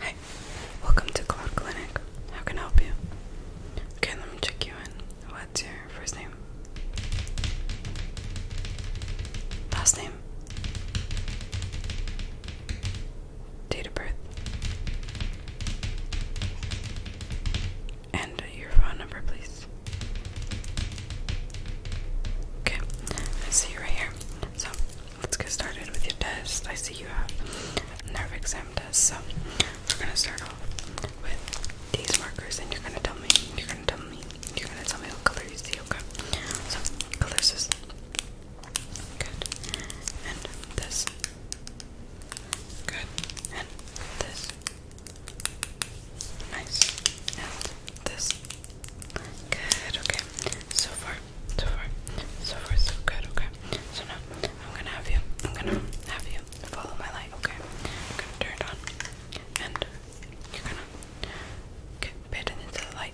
Hi, welcome to Cloud Clinic. How can I help you? Okay, let me check you in. What's your first name? Last name? Date of birth? And your phone number, please. Okay, I see you right here. So, let's get started with your test. I see you have a nerve exam test, so we're gonna start off with these markers, and you're gonna tell me, you're gonna tell me, you're gonna tell me what color you see. Okay, so colors is good, and this good, and this nice, and this good. Okay, so far so far, so far so good, okay? So now, I'm gonna have you, I'm gonna have you follow my light, okay? I'm gonna turn it on, and you're gonna okay, pay attention to the light.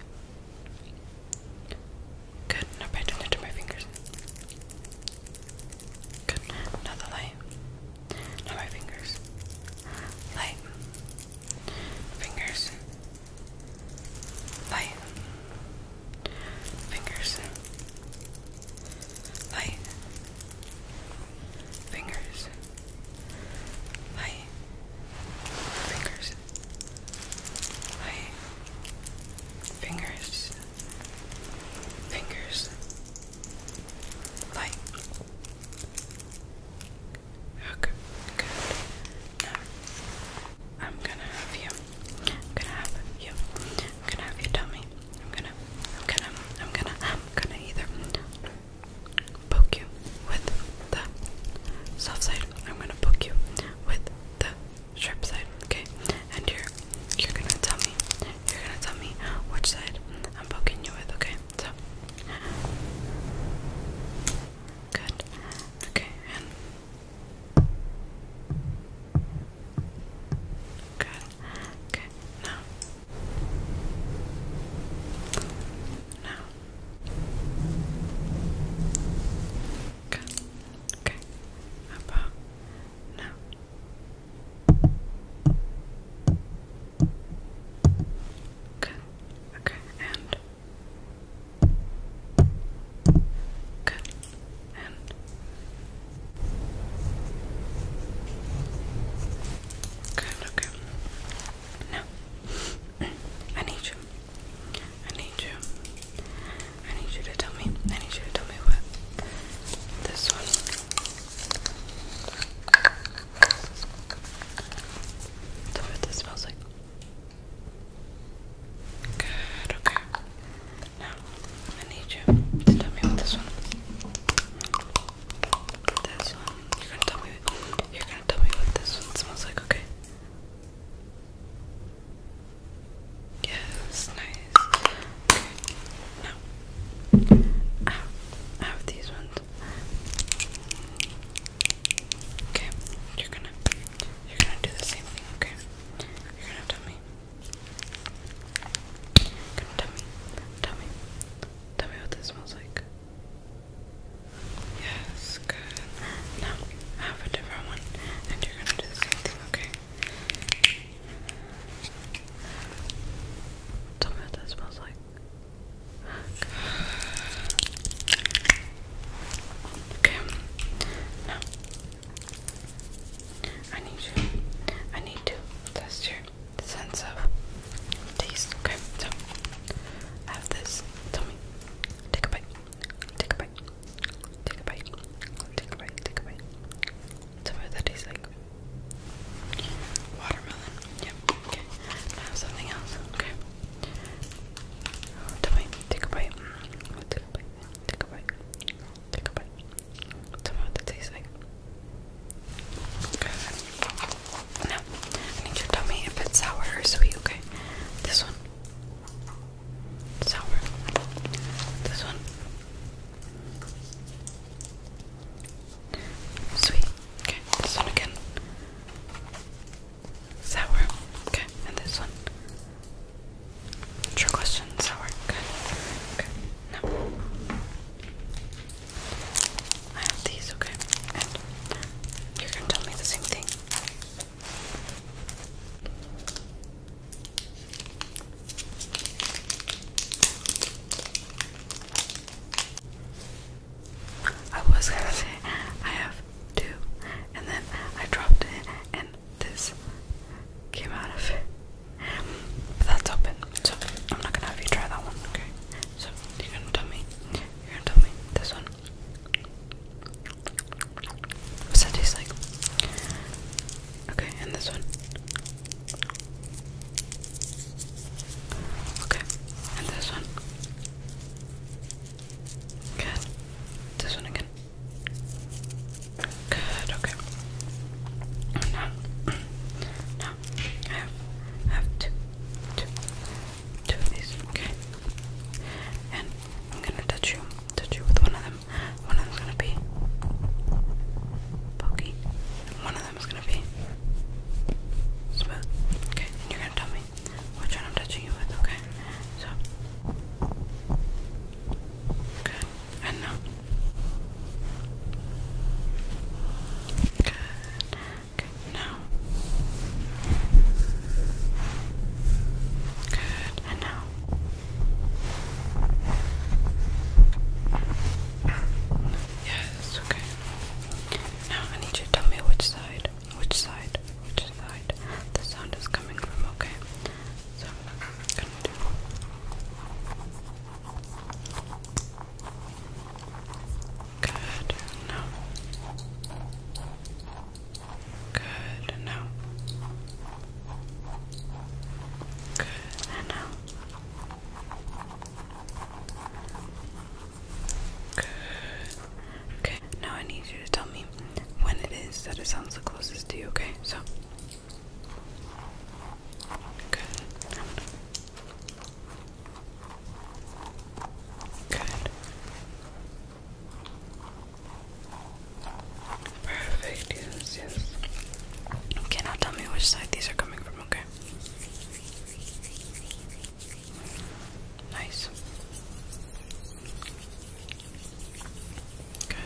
Good, Not pay attention to my fingers. Good, now the light. Now my fingers. Light fingers, light, fingers, light, fingers, light, fingers, light, fingers, fingers, light. Okay, good. Now, I'm gonna have you. I'm gonna have you. I'm gonna have you tell me. I'm gonna, I'm gonna, I'm gonna, I'm gonna either poke you with the soft side. I'm gonna poke you with the sharp side. Okay, and you're, you're gonna tell me. You're gonna tell me which side I'm poking you with. Okay, so. Good. Okay, and good. Okay, now. Now. Good. Okay. How now? Good. Okay, and Good. good, okay. Now I need you. I need you. I need you to tell me. I need you to tell me what this one. Tell me what this smells like. Good, okay. Now, I need you to tell me what this one This one. You're gonna tell me you're gonna tell me what this one smells like, okay? Yes, nice. Okay. Now I have, these ones. Okay, you're gonna you're gonna do the same thing, okay? You're gonna tell me. gonna tell me, tell me, tell me what this smells like. Yes, good. Now have a different one, and you're gonna do the same thing, okay? Tell me what that smells like. Okay. Now I need you. I need to test your sense of taste. Okay, so I have this. Tell me. Take a bite. Take a bite. Take a bite. Take a bite. Take a bite. Tell me what that tastes like. Watermelon. Yep. Okay. I have something else. Okay take a bite. Take a bite. Take a bite. Take a bite. Tell me what that tastes like. Good. I need you to tell me if it's sour or sweet, okay? This one. Sour. This one. Sweet. Okay, this one again. Sour. Okay, and this one. True question. Sour. Good. Okay. Now I have these. Okay, and you're gonna tell me the same thing. I was gonna say I have two, and then I dropped it, and this came out of it. But that's open, so I'm not gonna have you try that one, okay? So you're gonna tell me, you're gonna tell me this one. What's that taste like? Okay, and this one. Okay, and this one. Good. This one again. Good, okay. Now, now I have, I have two, two, two of these, okay? And I'm gonna touch you, touch you with one of them. One of them's gonna be pokey, one of that was gonna be Okay, you're gonna tell me which one I'm touching you with, okay? So good, and now good, okay, now good, and now. Yes, okay. Now I need you to tell me which side, which side, which side the sound is coming from, okay? So good now. Good now. Good now. Good. Okay, now I need you to tell me when it is that it sounds the closest to you, okay? So. Good. Good. Perfect, yes, yes. Okay, now tell me which side these are coming from, okay? Nice. Good.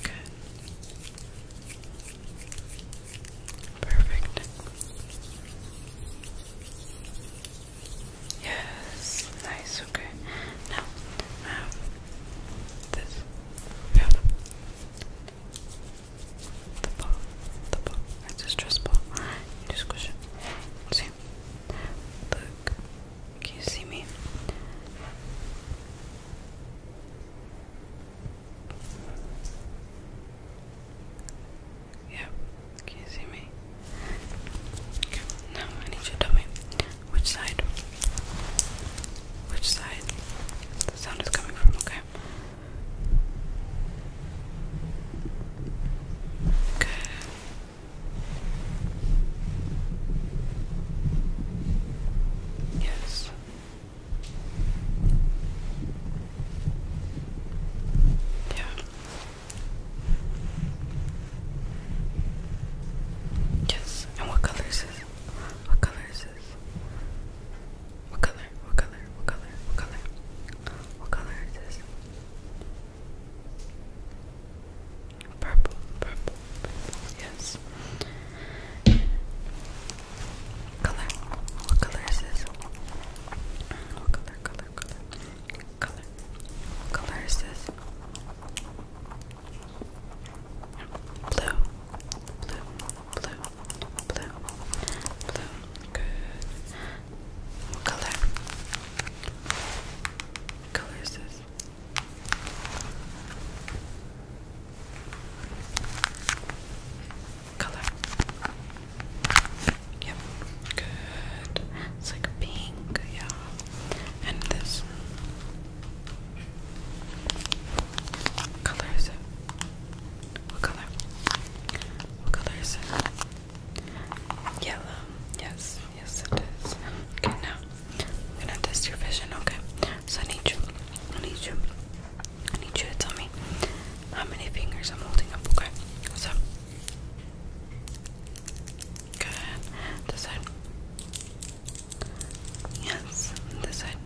Good. Perfect. Yes, nice, okay. Now, um, this, yeah the ball, the ball, it's a stress ball, just squish it, see, look, can you see me? Yeah, can you see me? Okay, now I need you to tell me which side which side the sound is coming from, okay? Okay. Yes. Yeah. Yes. And what color is What color what color? What color? What color? What color? What color is this? purple, purple, yes. Color, what color is this? What color, color, color, color, what color is this? Blue, blue, blue, blue, blue. Good. What color? What color is this? Color. Yep. Good. It's like pink, yeah. And this. What color is it? What color? What color is it? Yellow. Yes, yes it is. Okay, now I'm gonna test your vision, okay? So I need you. I need you. I need you to tell me how many fingers I'm holding up, okay? So Good. This side. Yes, this side.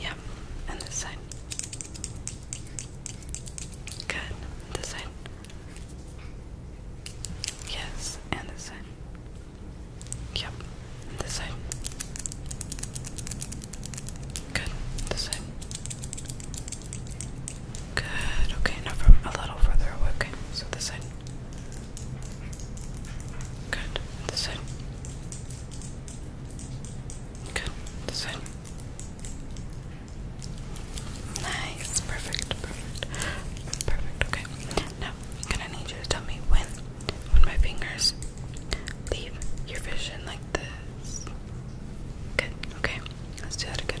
Yep, and this side. Good, this side. Yes, and this side. Yep, this side. Good, this side. Good, okay, now from a little further Okay, so this side. Good. This side. Good. This side. Nice. Perfect. Perfect. Perfect. Okay. Now I'm gonna need you to tell me when when my fingers leave your vision like this. Good. Okay. Let's do that again.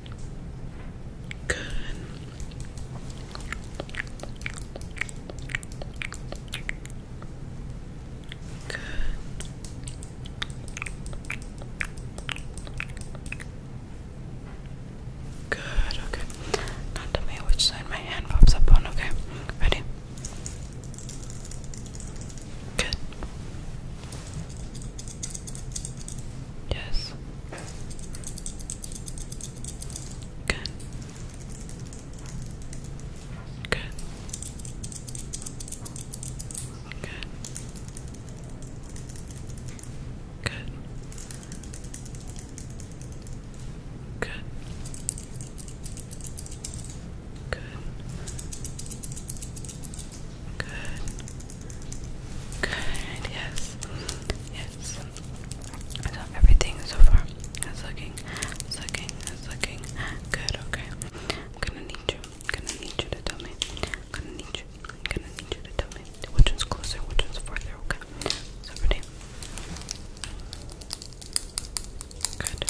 Good. Good. Good, okay. Now tell me which side my hand pops up on, okay? Ready? Good. Yes. Good. Good. Good. Good. Good. Good. Good. Good. Yes. Yes. So everything so far is looking, is looking, is looking good. Okay. I'm gonna need you. I'm gonna need you to tell me. I'm gonna need you. I'm gonna need you to tell me which one's closer, which one's farther. Okay. So ready. Good.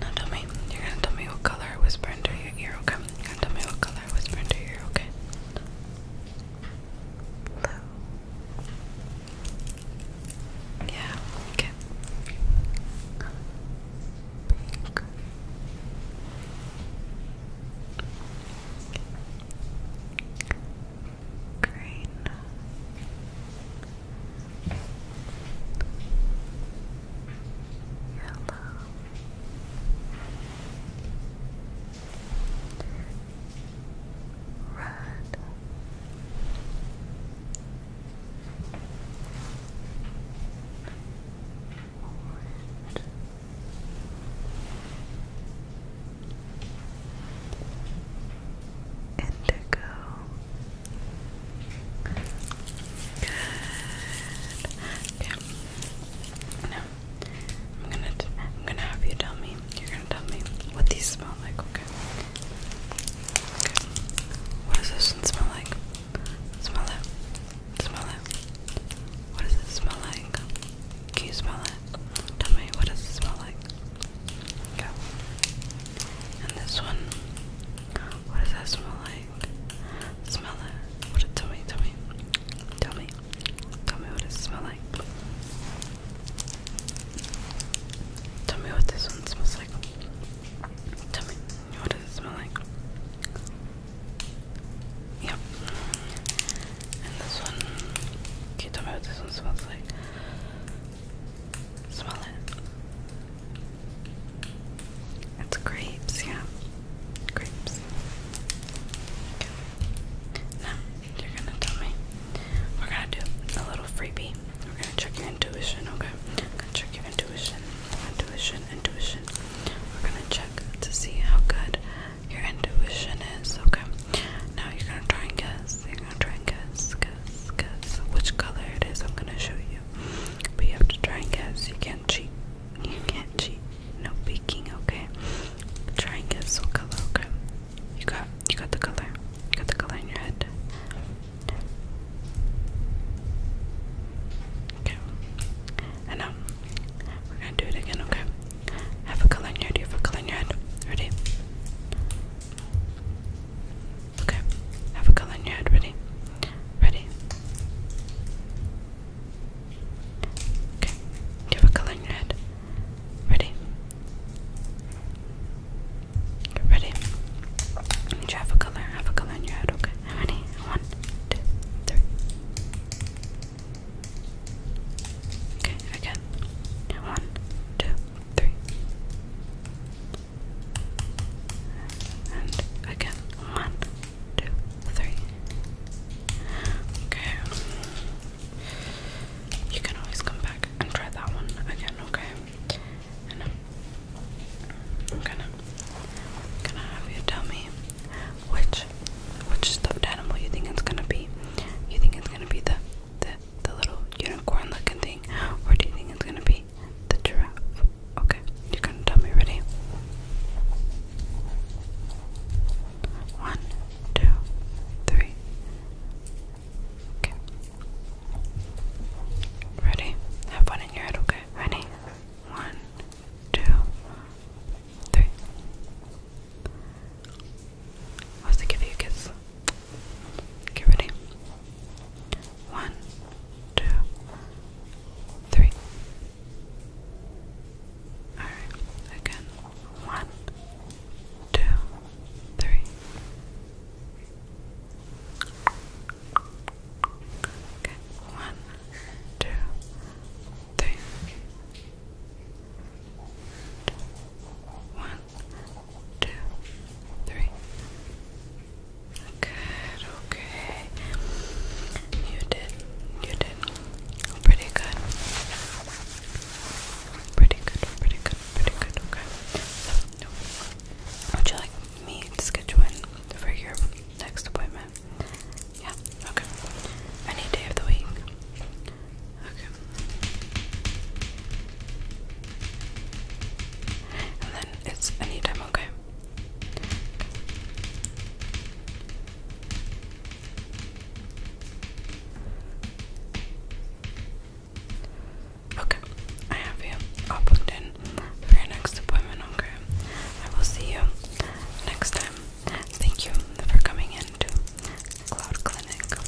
Now tell me, you're gonna tell me what color I whisper into your ear, okay? You're gonna tell me what color I whisper into your ear, okay? Blue. Yeah, okay. Pink. Green. Yellow. Red. Orange. Indigo. Good. Okay. Now, I'm gonna I'm gonna have you tell me. You're gonna tell me what these smell like. Okay. Okay. What does this one smell like? Smell it. Smell it. What does it smell like? Can you smell it? Tell me. What does it smell like? Okay. And this one. What does that smell like? Smell it. What it tell me, tell me. Tell me. Tell me what it smells like. Tell me what this one smells like. Tell me what does it smell like? Yep. And this one can you tell me what this one smells like? Smell it. It's grapes, yeah. Grapes. Okay. Now, you're gonna tell me. We're gonna do a little freebie. We're gonna check your intuition, okay? gonna check your intuition, intuition, intuition. We're gonna check to see how good your intuition is, okay? Now you're gonna try and guess. You're gonna try and guess, guess, guess which color it is I'm gonna show you. But you have to try and guess. You can't cheat. You can't cheat. No peeking, okay? Try and guess what color, okay? You got you got the color. You got the color in your head. Okay. And now we're gonna do it again, okay? Have a color in your head, have a color in your head. Ready? Okay, have a color in your head. Ready? Ready? Okay, have a color in your head. Ready? Ready? You have a color, have a color in your head. Okay, how many? One, two, three. Okay, again. One, two, three. And again, one, two, three. Okay. You can always come back and try that one again, okay? I'm gonna, gonna have you tell me which which stuffed animal you think it's gonna be. You think it's gonna be the the the little unicorn looking thing, or do you think it's gonna be the giraffe. Okay, you're gonna tell me ready. One, two, three. Okay. Ready? Have one in your head, okay? Ready? One, two, three. I was to give you a kiss. Get ready. One, two, three. Alright, again. One, two, three. Okay, one, two, three. One, two, three. Good, okay. You did, you did. Pretty good. Pretty good, pretty good, pretty good, okay. would you like me to schedule in for your next appointment? Yeah, okay. Any day of the week? Okay. And then it's anytime, okay? Okay, I have you all booked in for your next appointment, okay? I will see you next time. Thank you for coming in Cloud Clinic.